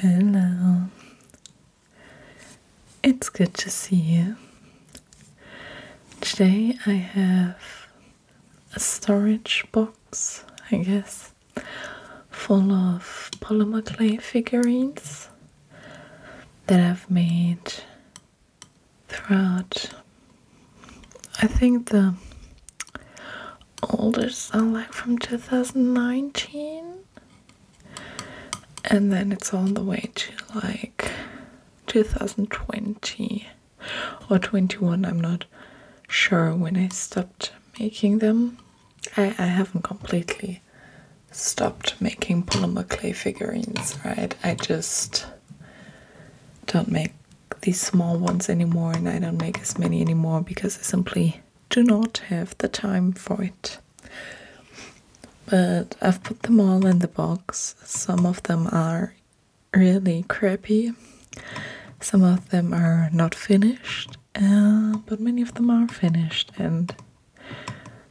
Hello, it's good to see you. Today I have a storage box, I guess, full of polymer clay figurines that I've made throughout. I think the oldest are like from 2019, and then it's all the way to like 2020 or 21. I'm not sure when I stopped making them. I, I haven't completely stopped making polymer clay figurines, right? I just don't make these small ones anymore and I don't make as many anymore because I simply do not have the time for it. But I've put them all in the box. Some of them are really crappy. Some of them are not finished, uh, but many of them are finished, and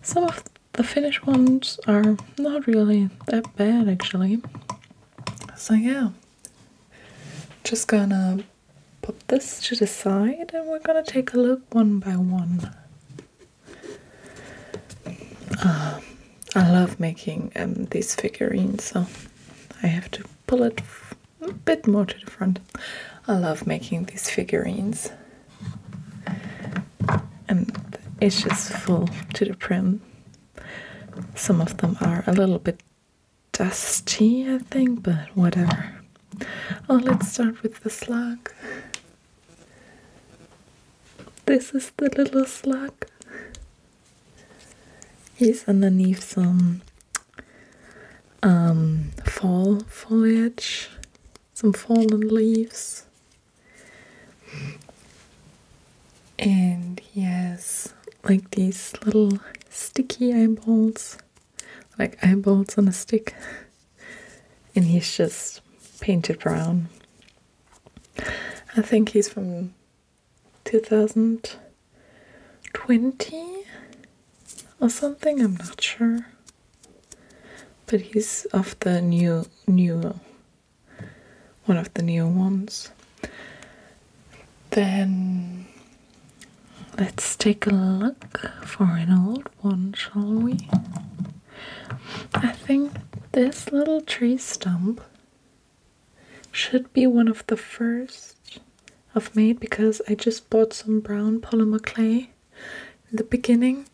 some of the Finnish ones are not really that bad actually. So, yeah, just gonna put this to the side and we're gonna take a look one by one. Ah, I love making um, these figurines, so I have to pull it a bit more to the front. I love making these figurines and it's just full to the brim. Some of them are a little bit dusty, I think, but whatever. Oh, let's start with the slug. This is the little slug. He's underneath some um, fall foliage some fallen leaves. And he has like these little sticky eyeballs, like eyeballs on a stick. And he's just painted brown. I think he's from 2020 or something, I'm not sure. But he's of the new new one of the new ones. Then let's take a look for an old one, shall we? I think this little tree stump should be one of the first I've made because I just bought some brown polymer clay in the beginning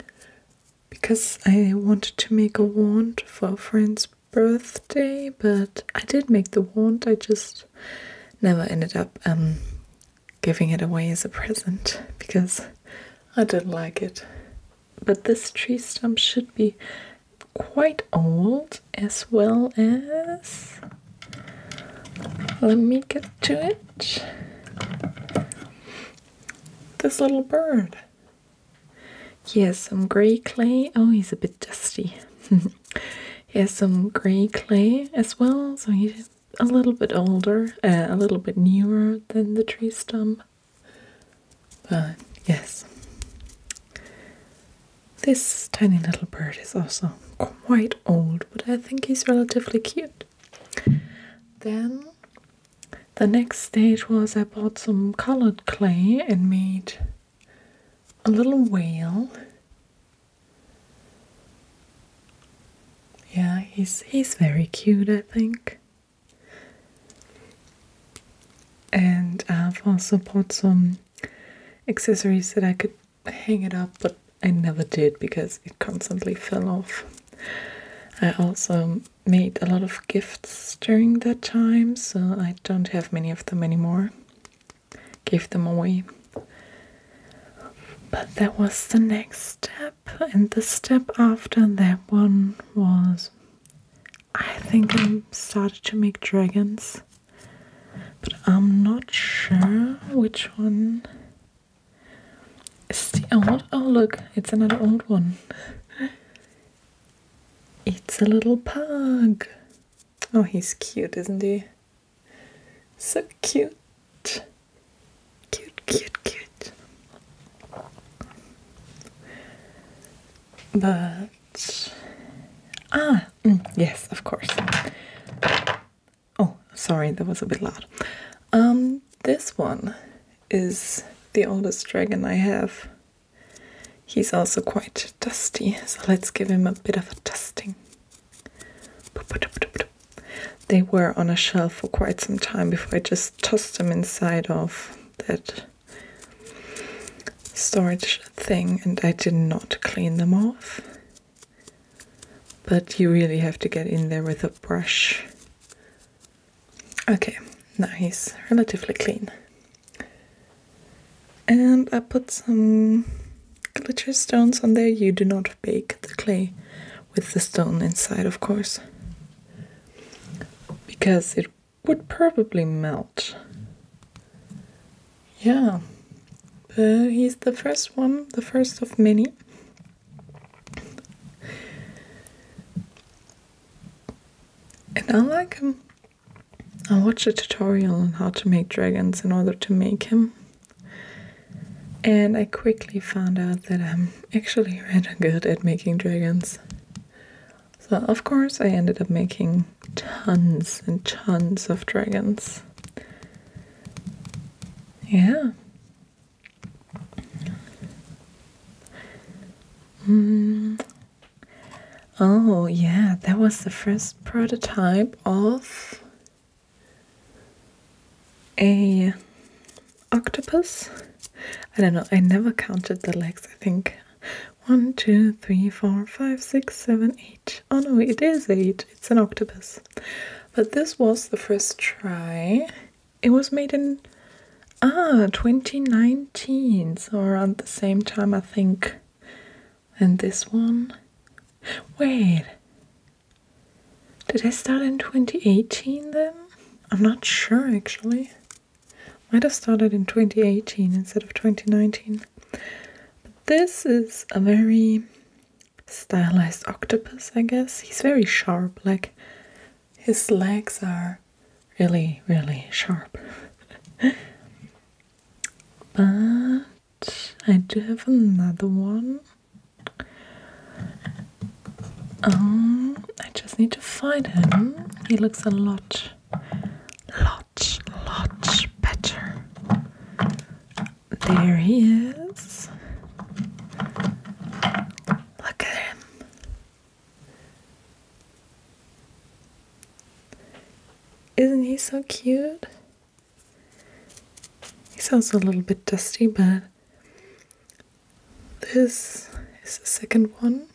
because I wanted to make a wand for a friend's birthday, but I did make the wand, I just never ended up um, giving it away as a present because I didn't like it. But this tree stump should be quite old as well as. Let me get to it. This little bird. He has some grey clay. Oh, he's a bit dusty. he has some grey clay as well, so he's a little bit older, uh, a little bit newer than the tree stump. But yes, this tiny little bird is also quite old, but I think he's relatively cute. Then the next stage was I bought some colored clay and made a little whale. Yeah, he's he's very cute, I think. And I've also bought some accessories that I could hang it up, but I never did because it constantly fell off. I also made a lot of gifts during that time, so I don't have many of them anymore. Gave them away. But that was the next step, and the step after that one was I think I started to make dragons, but I'm not sure which one old. Oh, look, it's another old one. It's a little pug. Oh, he's cute, isn't he? So cute. Cute, cute, cute. But. Ah, mm, yes, of course. Oh, sorry, that was a bit loud. Um, this one is the oldest dragon I have. He's also quite dusty, so let's give him a bit of a dusting. They were on a shelf for quite some time before I just tossed them inside of that storage thing and I did not clean them off but you really have to get in there with a brush. Okay, now he's relatively clean. And I put some glitter stones on there. You do not bake the clay with the stone inside, of course, because it would probably melt. Yeah, but he's the first one, the first of many and I like him. I watched a tutorial on how to make dragons in order to make him, and I quickly found out that I'm actually rather good at making dragons. So, of course, I ended up making tons and tons of dragons. Yeah, Mm. Oh, yeah, that was the first prototype of a octopus. I don't know, I never counted the legs, I think. One, two, three, four, five, six, seven, eight. Oh no, it is eight. It's an octopus. But this was the first try. It was made in ah 2019, so around the same time I think. And this one. Wait. Did I start in 2018 then? I'm not sure actually. Might have started in 2018 instead of 2019. But this is a very stylized octopus, I guess. He's very sharp, like his legs are really, really sharp. but I do have another one. Um, I just need to find him. He looks a lot, lot, lot better there he is. Look at him. Isn't he so cute? He sounds a little bit dusty, but this is the second one.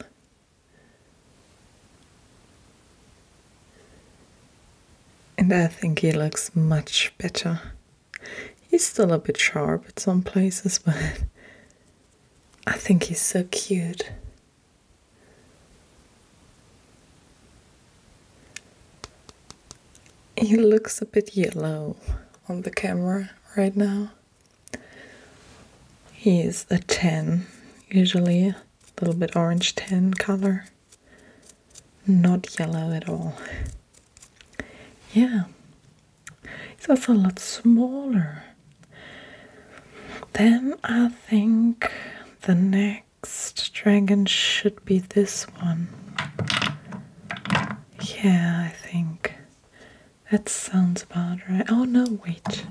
And I think he looks much better. He's still a bit sharp at some places, but I think he's so cute. He looks a bit yellow on the camera right now. He is a tan, usually a little bit orange tan color not yellow at all. Yeah, it's also a lot smaller. Then I think the next dragon should be this one. Yeah, I think that sounds about right. Oh no, wait.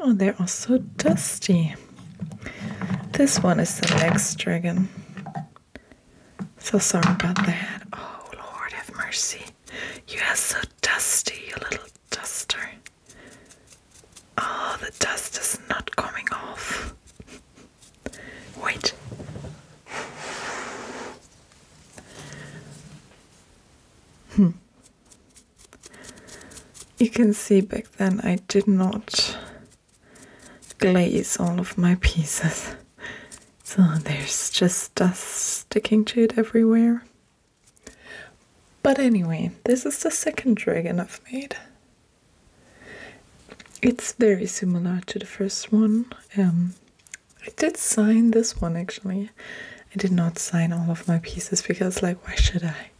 Oh, they're also dusty. This one is the next dragon. So sorry about that. Oh Lord, have mercy. You are so dusty, you little duster. Oh, the dust is not coming off. Wait. Hmm. You can see back then I did not glaze all of my pieces. So there's just dust sticking to it everywhere. But anyway, this is the second dragon I've made. It's very similar to the first one. Um, I did sign this one actually. I did not sign all of my pieces because like why should I?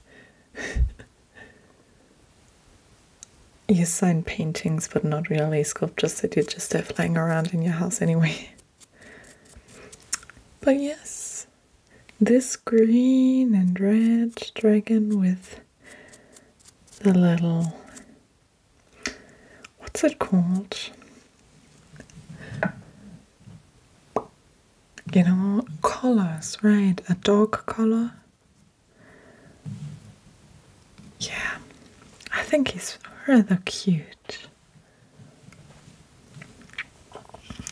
You sign paintings, but not really sculptures that you just have lying around in your house anyway. But yes, this green and red dragon with the little. What's it called? You know, collars, right? A dog collar. Yeah, I think he's rather cute.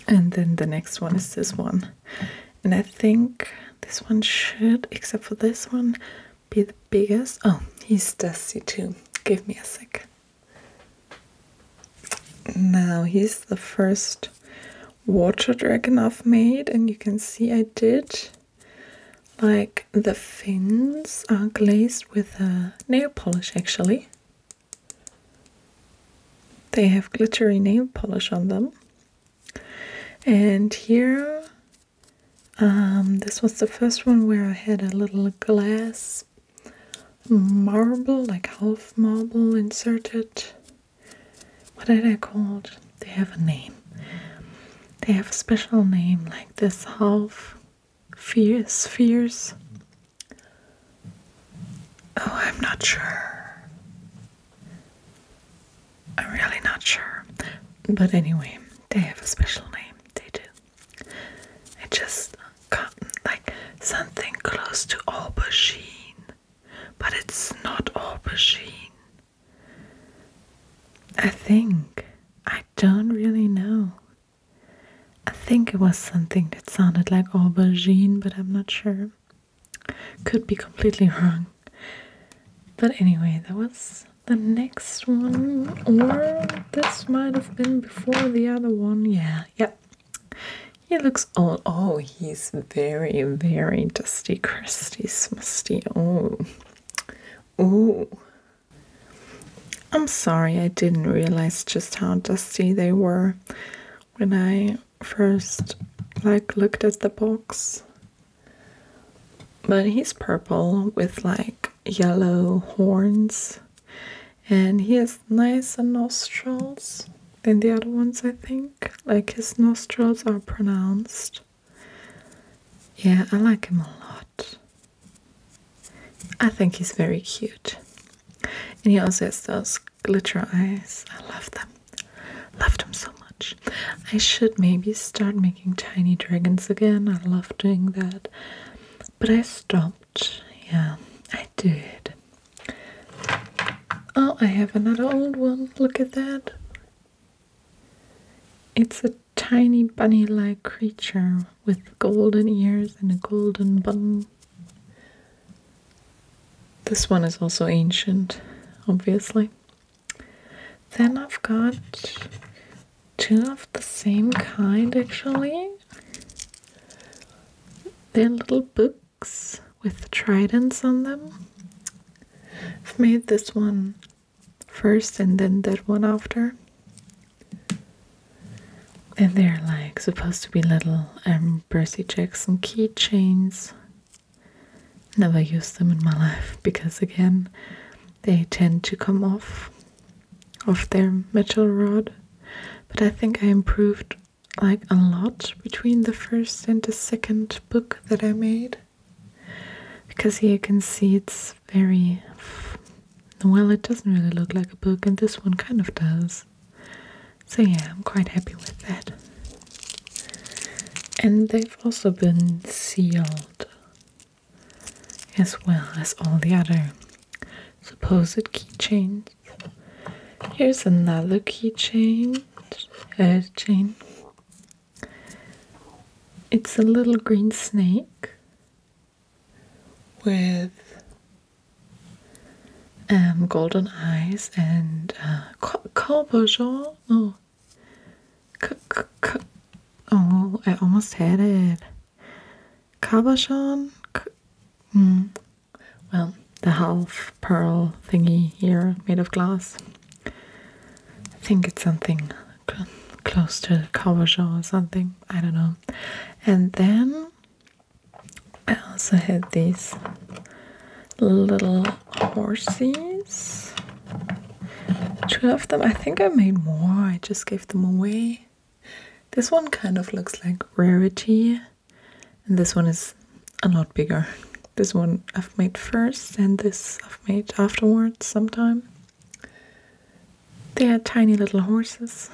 And then the next one is this one. And I think this one should, except for this one, be the biggest. Oh, he's dusty too. Give me a sec. Now he's the first water dragon I've made and you can see I did like the fins are glazed with a uh, nail polish actually they have glittery nail polish on them and here um, this was the first one where I had a little glass marble like half marble inserted what are they called? They have a name. They have a special name, like this half fears, spheres. Oh, I'm not sure. I'm really not sure. But anyway, they have a special name. They do. It just got like something close to aubergine, but it's not aubergine. I think. I don't really know. I think it was something that sounded like aubergine, but I'm not sure. Could be completely wrong. But anyway, that was the next one. Or this might have been before the other one. Yeah, yeah. He looks old. Oh, he's very, very dusty, crusty, musty. Oh, oh. I'm sorry, I didn't realize just how dusty they were when I first like looked at the box. But he's purple with like yellow horns and he has nice nostrils than the other ones, I think. Like his nostrils are pronounced. Yeah, I like him a lot. I think he's very cute. And he also has those glitter eyes. I love them. Love them so much. I should maybe start making tiny dragons again. I love doing that. But I stopped. Yeah, I did. Oh, I have another old one. Look at that. It's a tiny bunny like creature with golden ears and a golden bun. This one is also ancient, obviously. Then I've got two of the same kind actually. They're little boop with tridents on them. I've made this one first and then that one after. And they're like supposed to be little um, Percy Jackson keychains. Never used them in my life because, again, they tend to come off of their metal rod. But I think I improved like a lot between the first and the second book that I made because here you can see it's very well it doesn't really look like a book and this one kind of does so yeah I'm quite happy with that and they've also been sealed as well as all the other supposed keychains here's another keychain uh, chain. It's a little green snake with um, golden eyes and uh, Corbejean. Oh. oh, I almost had it. Cabochon. Mm. Well, the half pearl thingy here made of glass. I think it's something close to a Kawaja or something. I don't know. And then I also had these little horses. Two of them. I think I made more. I just gave them away. This one kind of looks like Rarity and this one is a lot bigger. This one I've made first, and this I've made afterwards sometime. They are tiny little horses.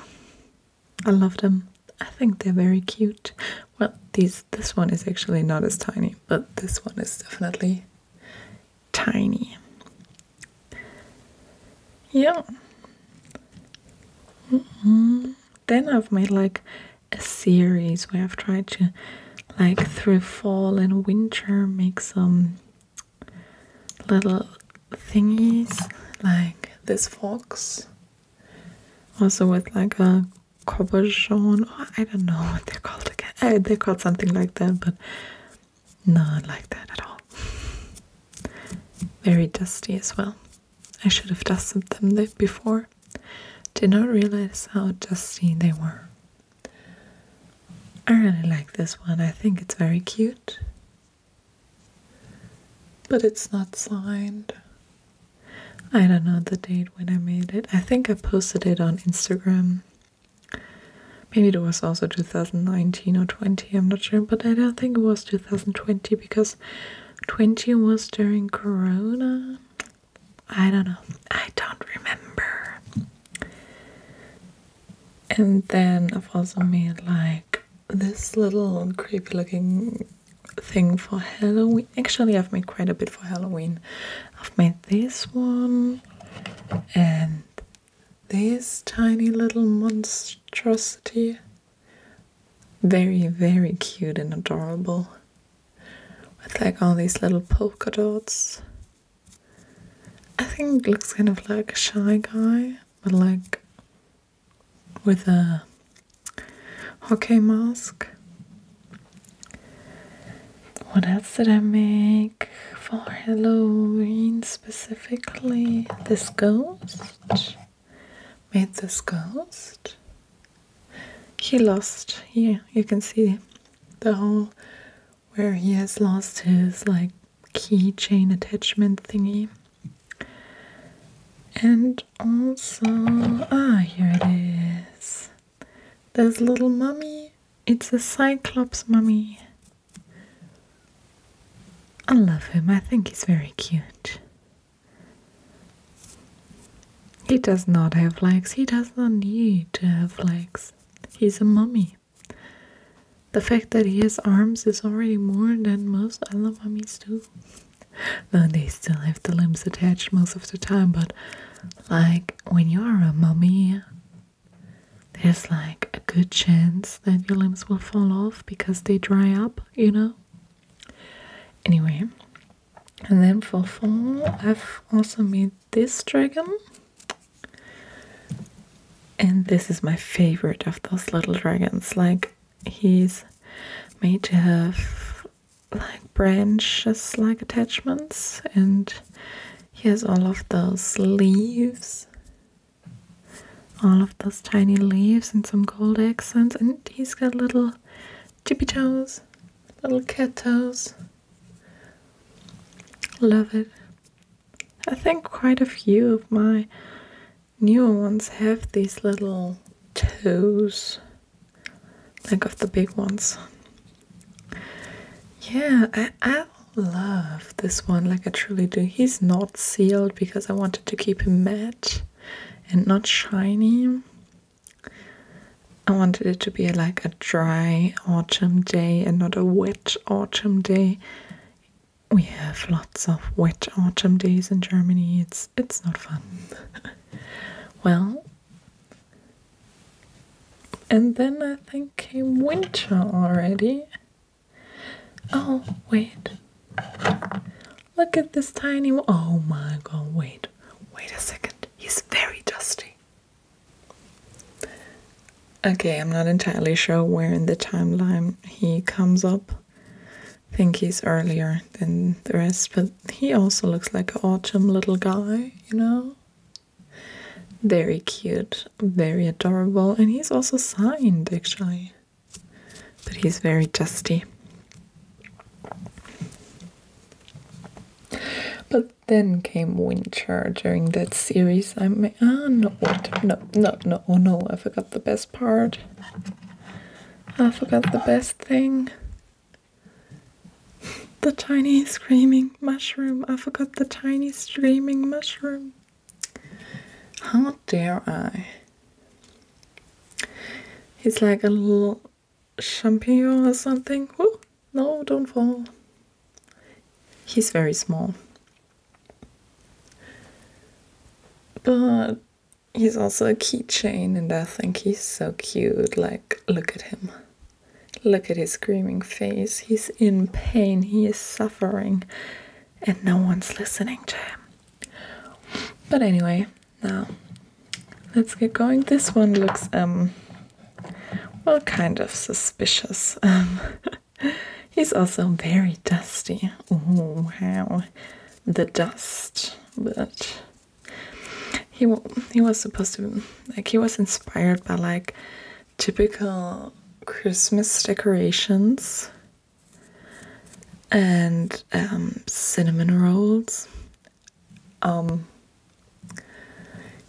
I love them. I think they're very cute. Well, these this one is actually not as tiny, but this one is definitely tiny. Yeah. Mm-hmm. Then I've made like a series where I've tried to, like, through fall and winter, make some little thingies like this fox. Also with like a cabochon. Oh, I don't know what they're called again. Eh, they're called something like that, but not like that at all. Very dusty as well. I should have dusted them before. Did not realize how dusty they were. I really like this one. I think it's very cute. But it's not signed. I don't know the date when I made it. I think I posted it on Instagram. Maybe it was also 2019 or 20, I'm not sure, but I don't think it was 2020 because 20 was during Corona. I don't know. I don't remember. And then I've also made like this little creepy looking thing for Halloween. Actually, I've made quite a bit for Halloween. I've made this one and this tiny little monstrosity. Very, very cute and adorable with like all these little polka dots. I think looks kind of like a shy guy, but like with a hockey mask. What else did I make for Halloween specifically? This ghost. Made this ghost he lost here you can see the hole where he has lost his like keychain attachment thingy and also ah here it is there's little mummy it's a cyclops mummy I love him. I think he's very cute. He does not have legs. He does not need to have legs. He's a mummy. The fact that he has arms is already more than most other mummies do. Though they still have the limbs attached most of the time, but like when you're a mummy, there's like a good chance that your limbs will fall off because they dry up, you know? Anyway, and then for fall, i I've also made this dragon. And this is my favorite of those little dragons. Like, he's made to have like branches like attachments and he has all of those leaves all of those tiny leaves and some gold accents and he's got little chippy toes, little cat toes. Love it. I think quite a few of my newer ones have these little toes, Think of the big ones. Yeah, I, I love this one, like I truly do. He's not sealed because I wanted to keep him matte and not shiny. I wanted it to be like a dry autumn day and not a wet autumn day. We have lots of wet autumn days in Germany. It's it's not fun. well, and then I think came winter already. Oh, wait. Look at this tiny one. Oh my god, wait. Wait a second. He's very dusty. Okay, I'm not entirely sure where in the timeline he comes up. I think he's earlier than the rest, but he also looks like an autumn little guy, you know? Very cute, very adorable, and he's also signed actually. But he's very dusty. But then came winter during that series. I may ah no what no no no oh no I forgot the best part. I forgot the best thing. The tiny screaming mushroom. I forgot the tiny screaming mushroom. How dare I? He's like a little champignon or something. Oh, no, don't fall. He's very small. But he's also a keychain, and I think he's so cute. Like, look at him. Look at his screaming face. He's in pain, he is suffering, and no one's listening to him. But anyway, now, let's get going. This one looks, um, well, kind of suspicious. Um, he's also very dusty. Oh, wow. The dust. But he, he was supposed to, like, he was inspired by, like, typical Christmas decorations and um, cinnamon rolls. Um,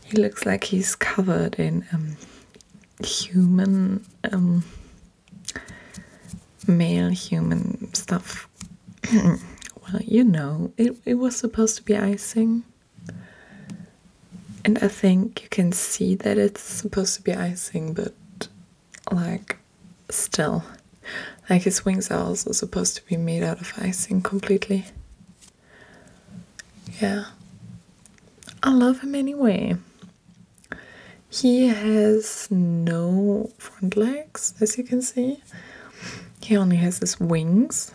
he looks like he's covered in um, human, male human stuff. well, you know, it, it was supposed to be icing. And I think you can see that it's supposed to be icing, but like still. Like his wings are also supposed to be made out of icing completely. Yeah. I love him anyway. He has no front legs, as you can see. He only has his wings.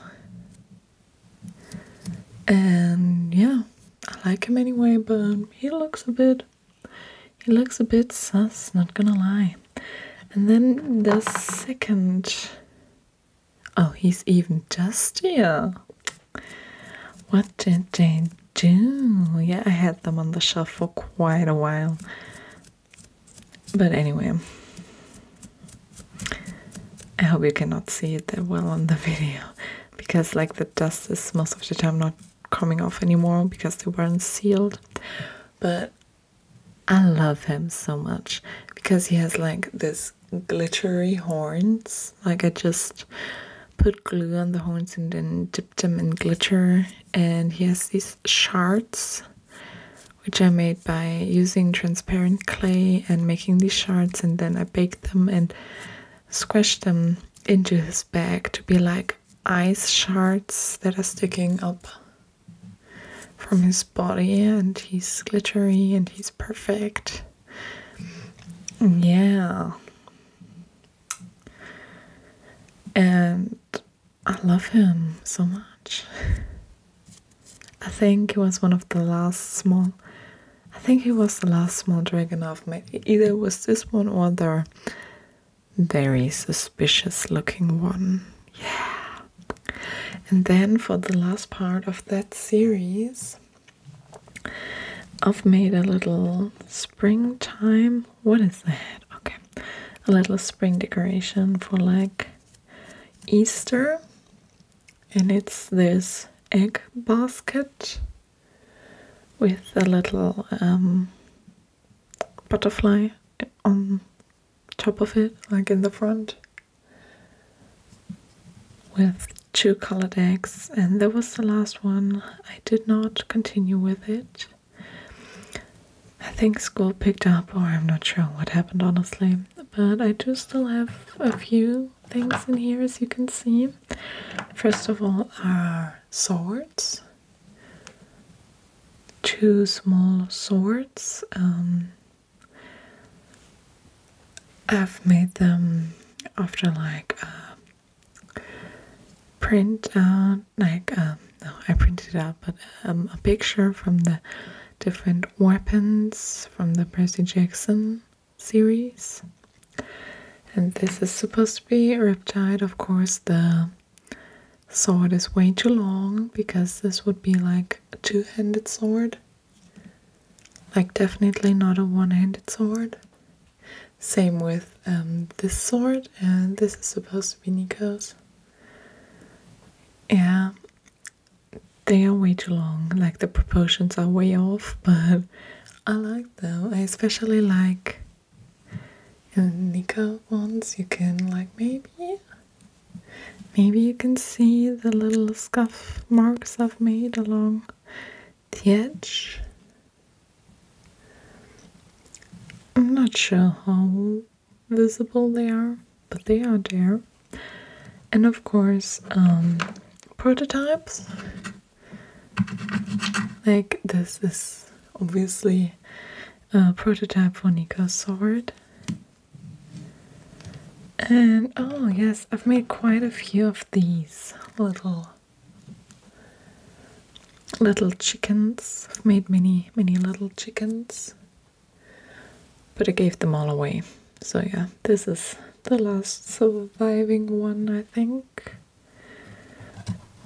And yeah, I like him anyway, but he looks a bit he looks a bit sus, not gonna lie. And then the second. Oh, he's even dustier. What did they do? Yeah, I had them on the shelf for quite a while. But anyway, I hope you cannot see it that well on the video because, like, the dust is most of the time not coming off anymore because they weren't sealed. But I love him so much because he has like this glittery horns. Like I just put glue on the horns and then dipped them in glitter. And he has these shards which I made by using transparent clay and making these shards and then I baked them and squished them into his bag to be like ice shards that are sticking up from his body, and he's glittery and he's perfect. Yeah. And I love him so much. I think he was one of the last small. I think he was the last small dragon I've met. Either was this one or the very suspicious looking one. Yeah. And then for the last part of that series, I've made a little springtime. What is that? Okay. A little spring decoration for like Easter. And it's this egg basket with a little um, butterfly on top of it, like in the front, with two colored eggs. And that was the last one. I did not continue with it. I think school picked up, or I'm not sure what happened honestly. But I do still have a few things in here, as you can see. First of all, are swords, two small swords. Um, I've made them after like a uh, print out, uh, like um, no, I printed out, but um, a picture from the different weapons from the Percy Jackson series. And this is supposed to be Riptide, of course, the sword is way too long because this would be like a two-handed sword like definitely not a one-handed sword same with um, this sword and this is supposed to be Nico's yeah they are way too long like the proportions are way off but I like them I especially like and Nico wants you can like maybe maybe you can see the little scuff marks I've made along the edge. I'm not sure how visible they are, but they are there. And of course, um, prototypes. Like this is obviously a prototype for Nico's sword. And oh, yes, I've made quite a few of these little little chickens. I've made many, many little chickens. But I gave them all away. So yeah, this is the last surviving one, I think.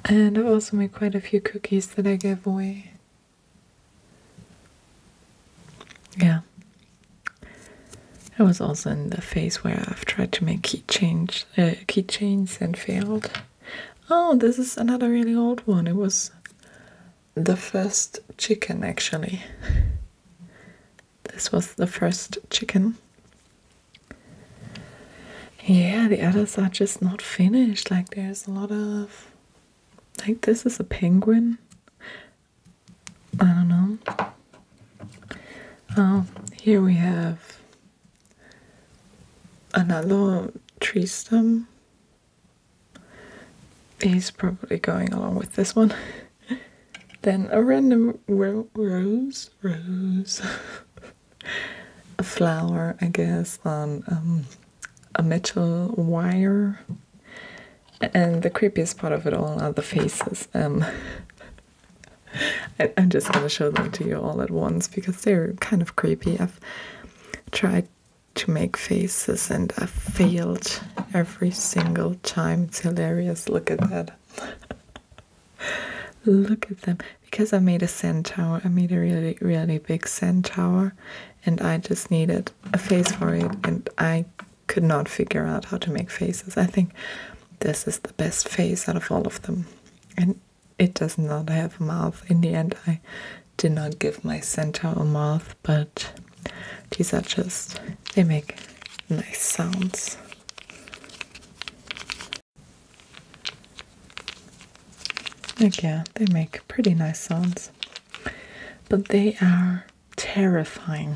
And I've also made quite a few cookies that I gave away. Yeah. I was also in the phase where I've tried to make key change, uh, keychains and failed. Oh, this is another really old one. It was the first chicken, actually. This was the first chicken. Yeah, the others are just not finished. Like, there's a lot of. Like, this is a penguin. I don't know. Oh, here we have another tree stem. He's probably going along with this one. then a random rose, rose. a flower, I guess, on um, a metal wire. And the creepiest part of it all are the faces. Um. I, I'm just gonna show them to you all at once because they're kind of creepy. I've tried to make faces and I failed every single time. It's hilarious. Look at that. Look at them. Because I made a sand tower. I made a really, really big sand tower and I just needed a face for it and I could not figure out how to make faces. I think this is the best face out of all of them. And it does not have a mouth. In the end, I did not give my centaur a mouth, but these are just, they make nice sounds. Like, yeah, they make pretty nice sounds, but they are terrifying.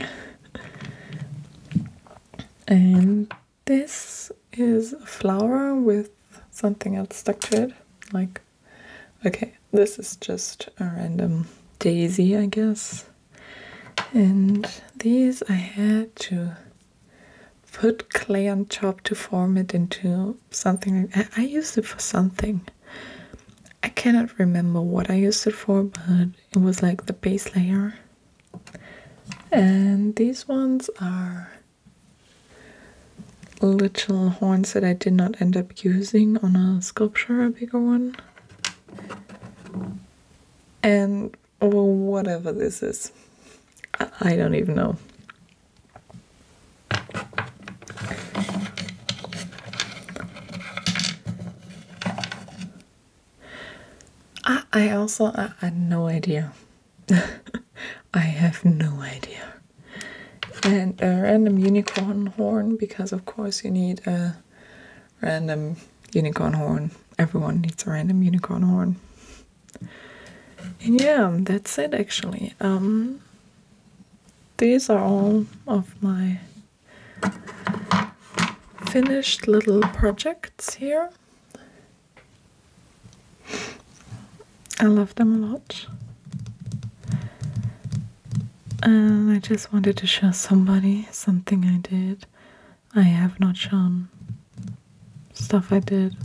and this is a flower with something else stuck to it. Like, okay, this is just a random daisy, I guess. And these I had to put clay on top to form it into something. I, I used it for something. I cannot remember what I used it for, but it was like the base layer. And these ones are little horns that I did not end up using on a sculpture, a bigger one. And or whatever this is. I don't even know. I, I also I, had no idea. I have no idea. And a random unicorn horn because of course you need a random unicorn horn. Everyone needs a random unicorn horn yeah that's it actually um, these are all of my finished little projects here I love them a lot and I just wanted to show somebody something I did I have not shown stuff I did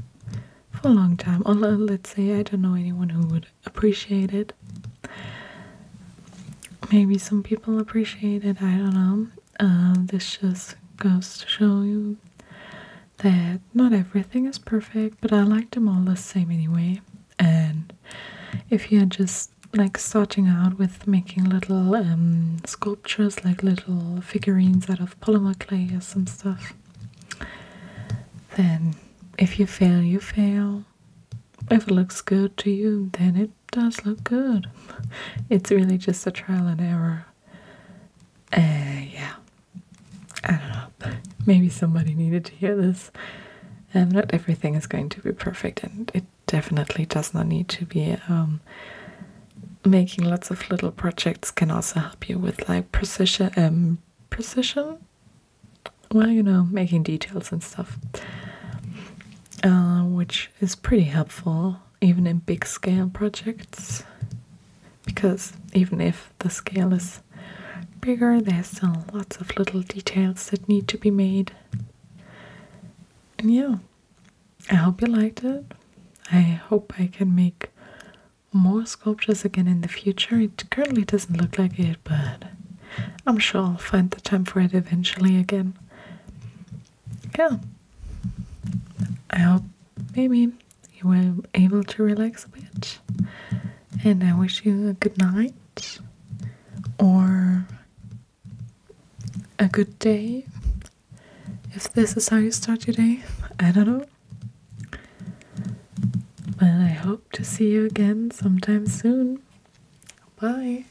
for a long time. Or let's say I don't know anyone who would appreciate it. Maybe some people appreciate it, I don't know. Uh, this just goes to show you that not everything is perfect, but I like them all the same anyway. And if you're just like starting out with making little um, sculptures, like little figurines out of polymer clay or some stuff, then if you fail, you fail. If it looks good to you, then it does look good. It's really just a trial and error. Uh, yeah. I don't know. Maybe somebody needed to hear this. Um, not everything is going to be perfect, and it definitely does not need to be. Um, making lots of little projects can also help you with like precision um precision well you know making details and stuff uh, which is pretty helpful even in big scale projects because even if the scale is bigger there's still lots of little details that need to be made and yeah I hope you liked it. I hope I can make more sculptures again in the future. It currently doesn't look like it, but I'm sure I'll find the time for it eventually again. Yeah. I hope maybe you were able to relax a bit. And I wish you a good night or a good day if this is how you start your day. I don't know. But I hope to see you again sometime soon. Bye.